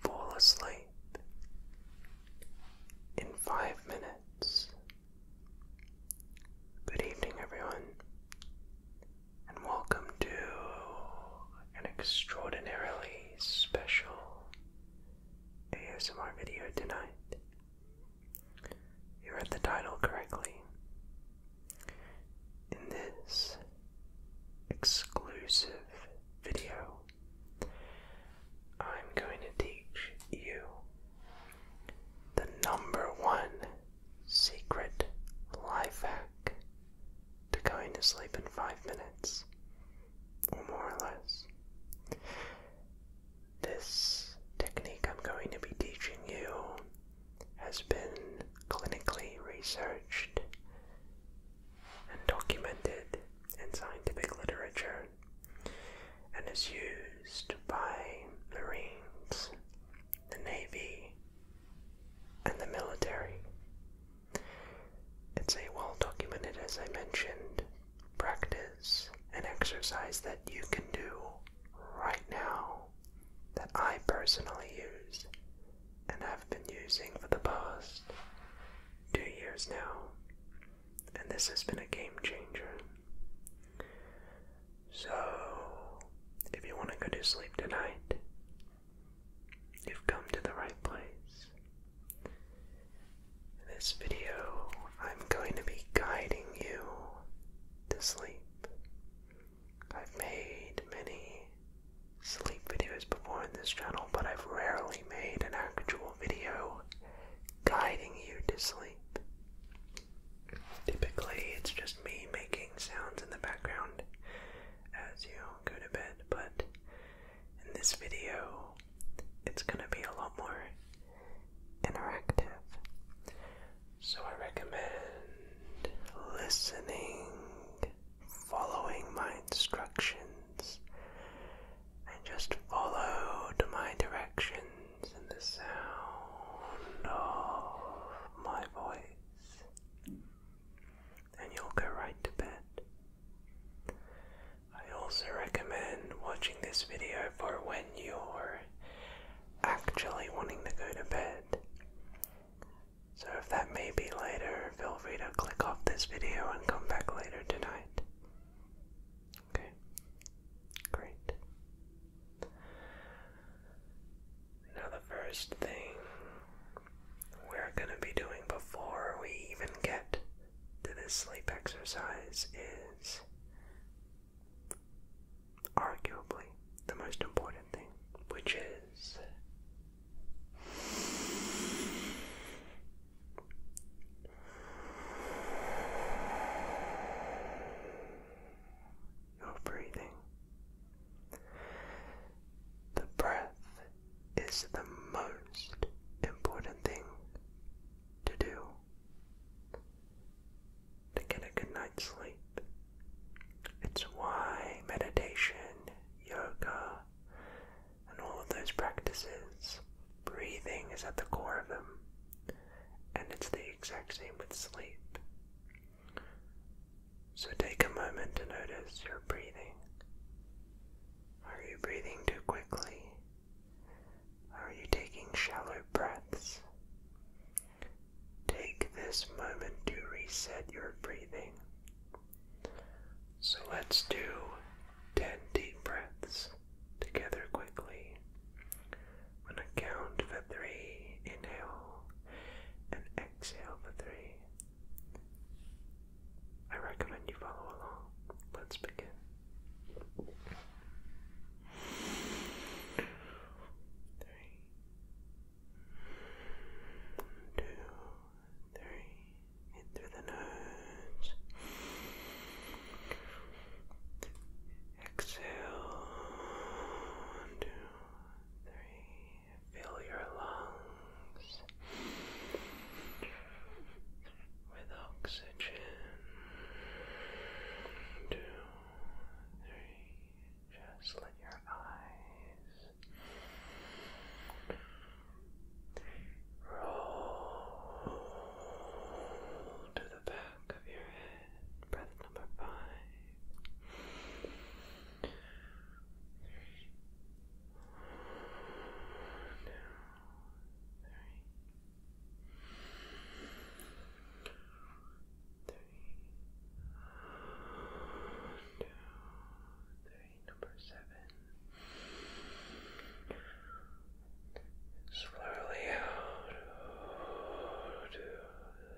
Fall asleep in five minutes. Good evening, everyone, and welcome to an extraordinarily special ASMR video tonight. You read the title correctly. In this exclusive video, I'm going to teach you the number one secret life hack to going to sleep in five minutes more or less. This technique I'm going to be teaching you has been clinically researched and documented in scientific literature and is used by Marines, the Navy, and the military. It's a well documented, as I mentioned, practice and exercise that you can do right now that I personally use and have been using for the past two years now. And this has been a game changer. So, if you want to go to sleep tonight, You've come to the right place. In this video, I'm going to be guiding you to sleep. I've made many sleep videos before in this channel, but I've rarely made an actual video guiding you to sleep. Typically, it's just me making sounds in the background as you go to bed, but in this video, it's going to be a lot more interactive. So I recommend listening, following my instructions, and just follow my directions and the sound of my voice and you'll go right to bed. I also recommend watching this video for when you're actually wanting to go to bed. So if that may be later, feel free to click off this video and come back later tonight. Okay, great. Now, the first thing we're going to be doing before we even get to this sleep exercise is arguably the most important thing, which is your breathing. The breath is the most important thing to do to get a good night's sleep. It's why meditation, yoga, and all of those practices, breathing is at the core of them. And it's the exact same with sleep. So take a moment to notice your breathing. Are you breathing too quickly? Are you taking shallow breaths? Take this moment to reset your breathing. So let's do 10 deep breaths together quickly. On a count for three, inhale and exhale for three. I recommend you follow along. Let's begin. Three, two, three. In through the nose. Exhale. One, two, three fill your lungs with oxygen. Two, three, just let your eyes roll to the back of your head. Breath number five three, number seven. Slowly out, out, out, out,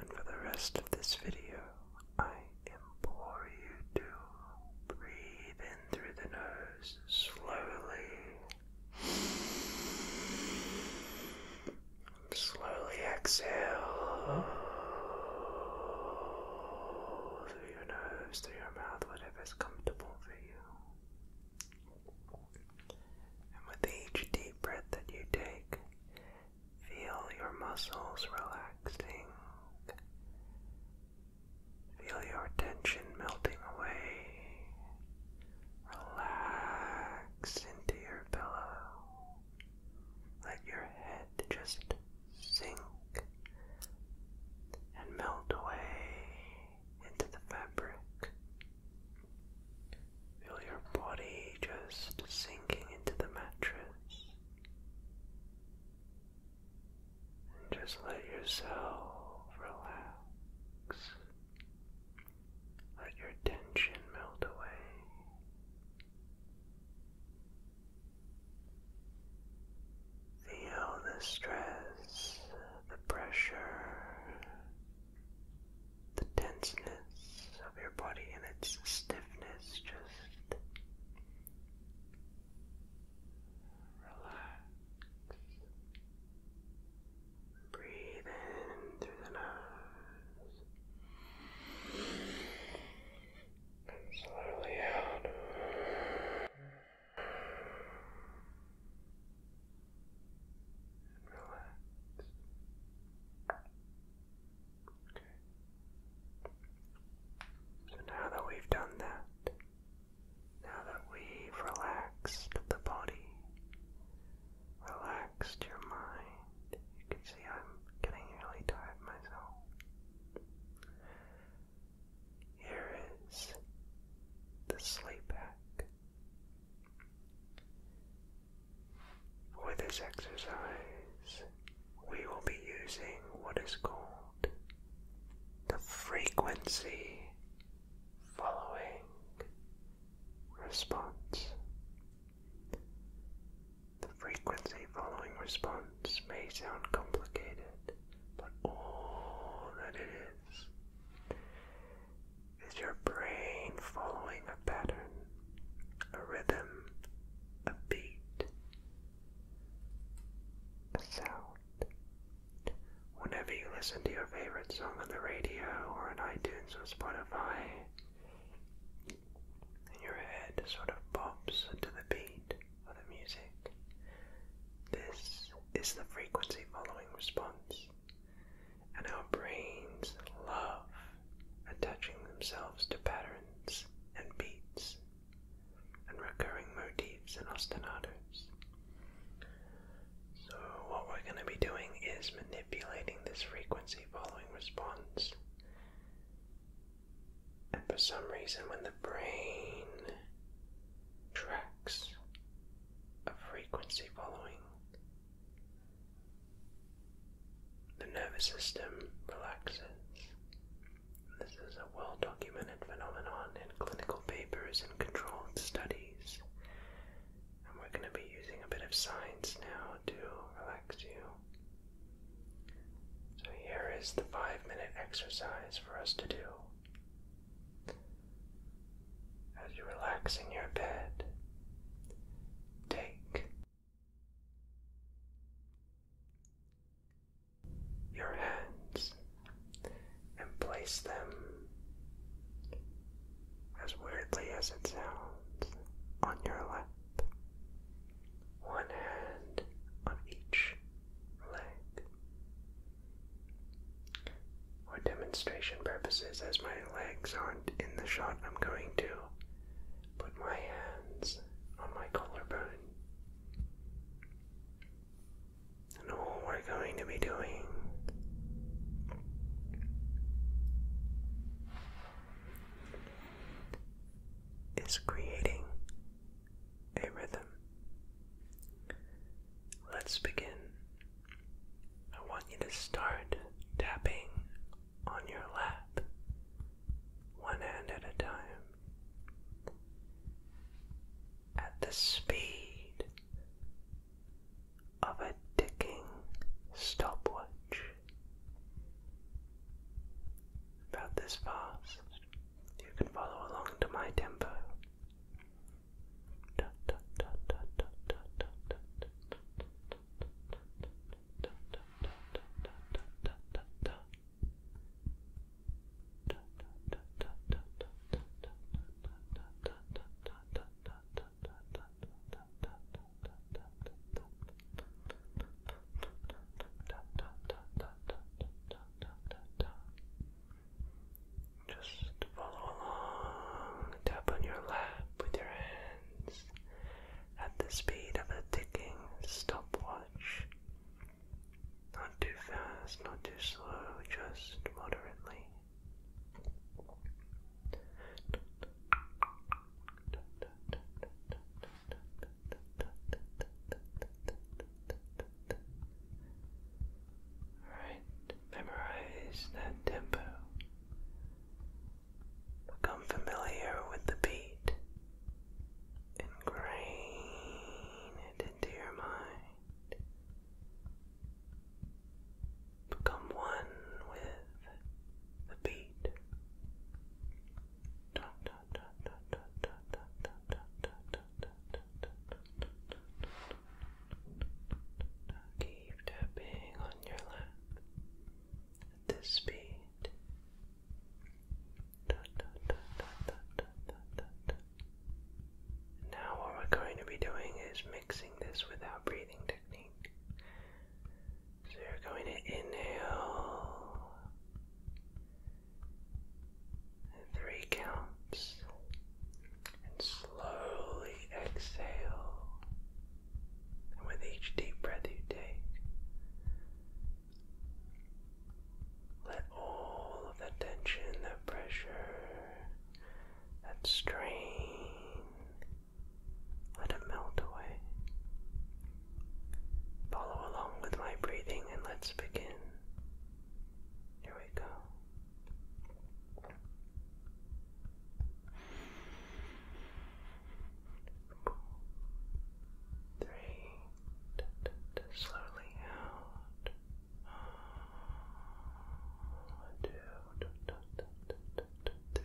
And for the rest of this video, I implore you to breathe in through the nose slowly. slowly exhale through your nose, through your mouth, whatever is comfortable for you. And with each deep breath that you take, feel your muscles relaxing. Feel your tension melting away. Relax into your pillow. Let your head just sink and melt away into the fabric. Feel your body just sinking into the mattress. And just let yourself relax. Let your tension melt away. Feel the stress the pressure, the tenseness of your body and its stiffness just relax. Breathe in through the nose. slowly out. And relax. Okay. So now that we've done that, now that we've relaxed the body, relaxed your mind, you can see I'm getting really tired myself. Here is the sleep hack. For this exercise, we will be using what is called the frequency following response. The frequency following response may sound complicated, but all that it is is your brain following a pattern, a rhythm, a beat, a sound. Whenever you listen to your favorite song on the radio or on iTunes or Spotify, your head sort of pops into the beat music. This is the frequency following response, and our brains love attaching themselves to patterns and beats and recurring motifs and ostinatos. So, what we're going to be doing is manipulating this frequency following response. And for some reason, when the brain tracks of frequency following. The nervous system relaxes. This is a well documented phenomenon in clinical papers and controlled studies. And we're going to be using a bit of science now to relax you. So, here is the five minute exercise for us to do. As you relax in your bed, take your hands and place them, as weirdly as it sounds, on your lap. One hand on each leg. For demonstration purposes, as my legs aren't in the shot, I'm going to put my hands on my collarbone. And all we're going to be doing is creating a rhythm. Let's begin. I want you to start tapping on your lap, one hand at a time, at the speed of a ticking stopwatch. About this fast. You can follow along to my tempo. Just follow along. Tap on your lap with your hands at the speed of a ticking stopwatch. Not too fast, not too slow, just moderately. Right, memorize that tempo. Become familiar with the beat. Ingrain it into your mind. Become one with the beat. Keep tapping on your lap at this speed. Now, what we're going to be doing is mixing this without breathing technique. So, you're going to inhale three counts, and slowly exhale. And with each deep breath you take, let all of that tension, that pressure, that strain, let it melt away. Follow along with my breathing and let's begin. Here we go. Three. slowly out. two, three.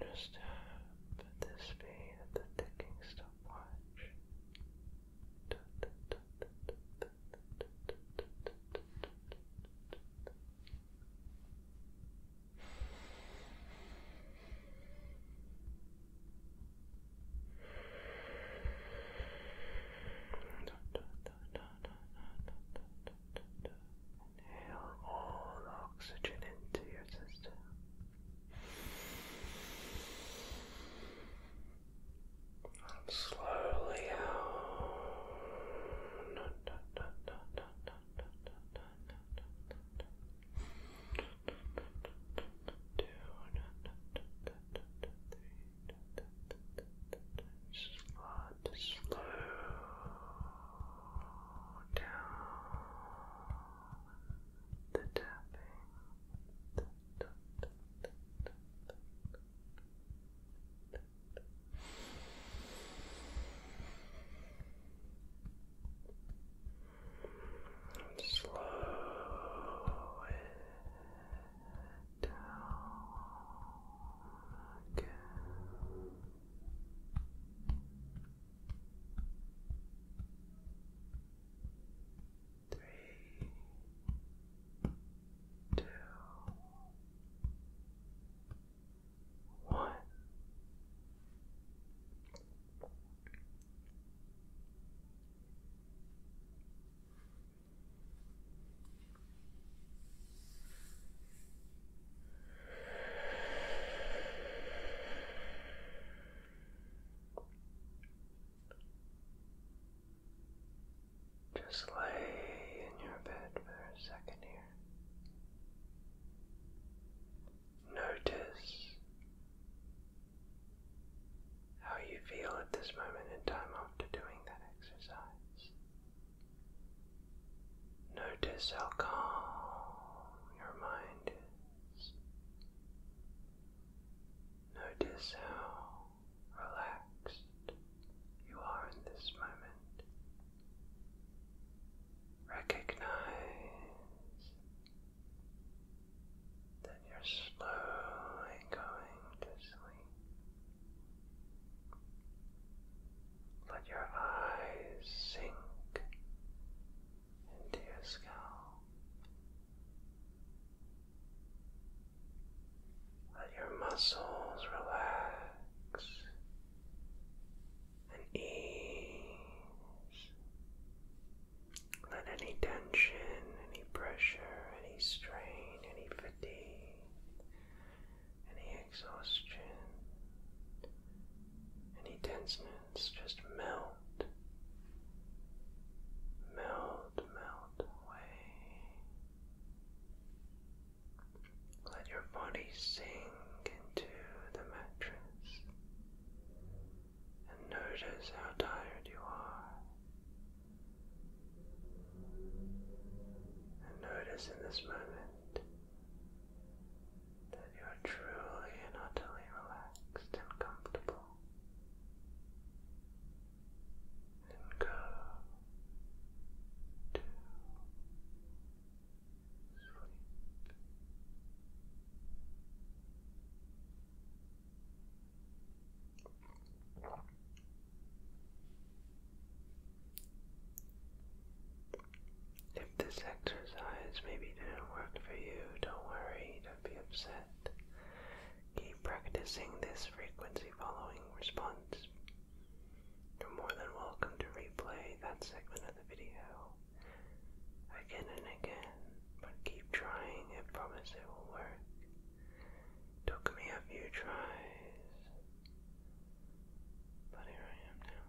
Just uh, put this be the ticking stopwatch. Inhale all oxygen into your system. slowly out. Slow, slow down the tapping. Good slow it down Three, two, one. Just lay in your bed for a second here. Notice how you feel at this moment in time after doing that exercise. Notice how calm your mind is. Notice how relaxed you are in this moment. Recognize then you're slowly going to sleep. Let your eyes sink into your skull. Let your muscles relax and ease let any tension, any pressure, any strain, any fatigue, any exhaustion, any tenseness just melt, melt, melt away. Let your body sink into the mattress and notice how tired you are. And notice in this moment that you are truly and utterly relaxed and comfortable. And go to sleep. If this exercise maybe didn't work for you, don't worry, don't be upset. Keep practicing this frequency following response. You're more than welcome to replay that segment of the video again and again, but keep trying. I promise it will work. Took me a few tries, but here I am now.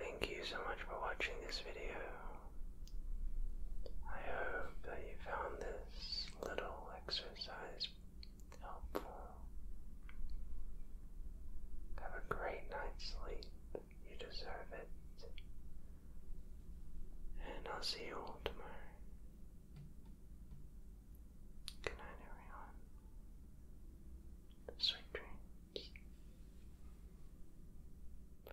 Thank you so much for watching this video. I hope that you found this little exercise helpful. Have a great night's sleep. You deserve it. And I'll see you all tomorrow. Good night, everyone. Sweet dreams. Bye.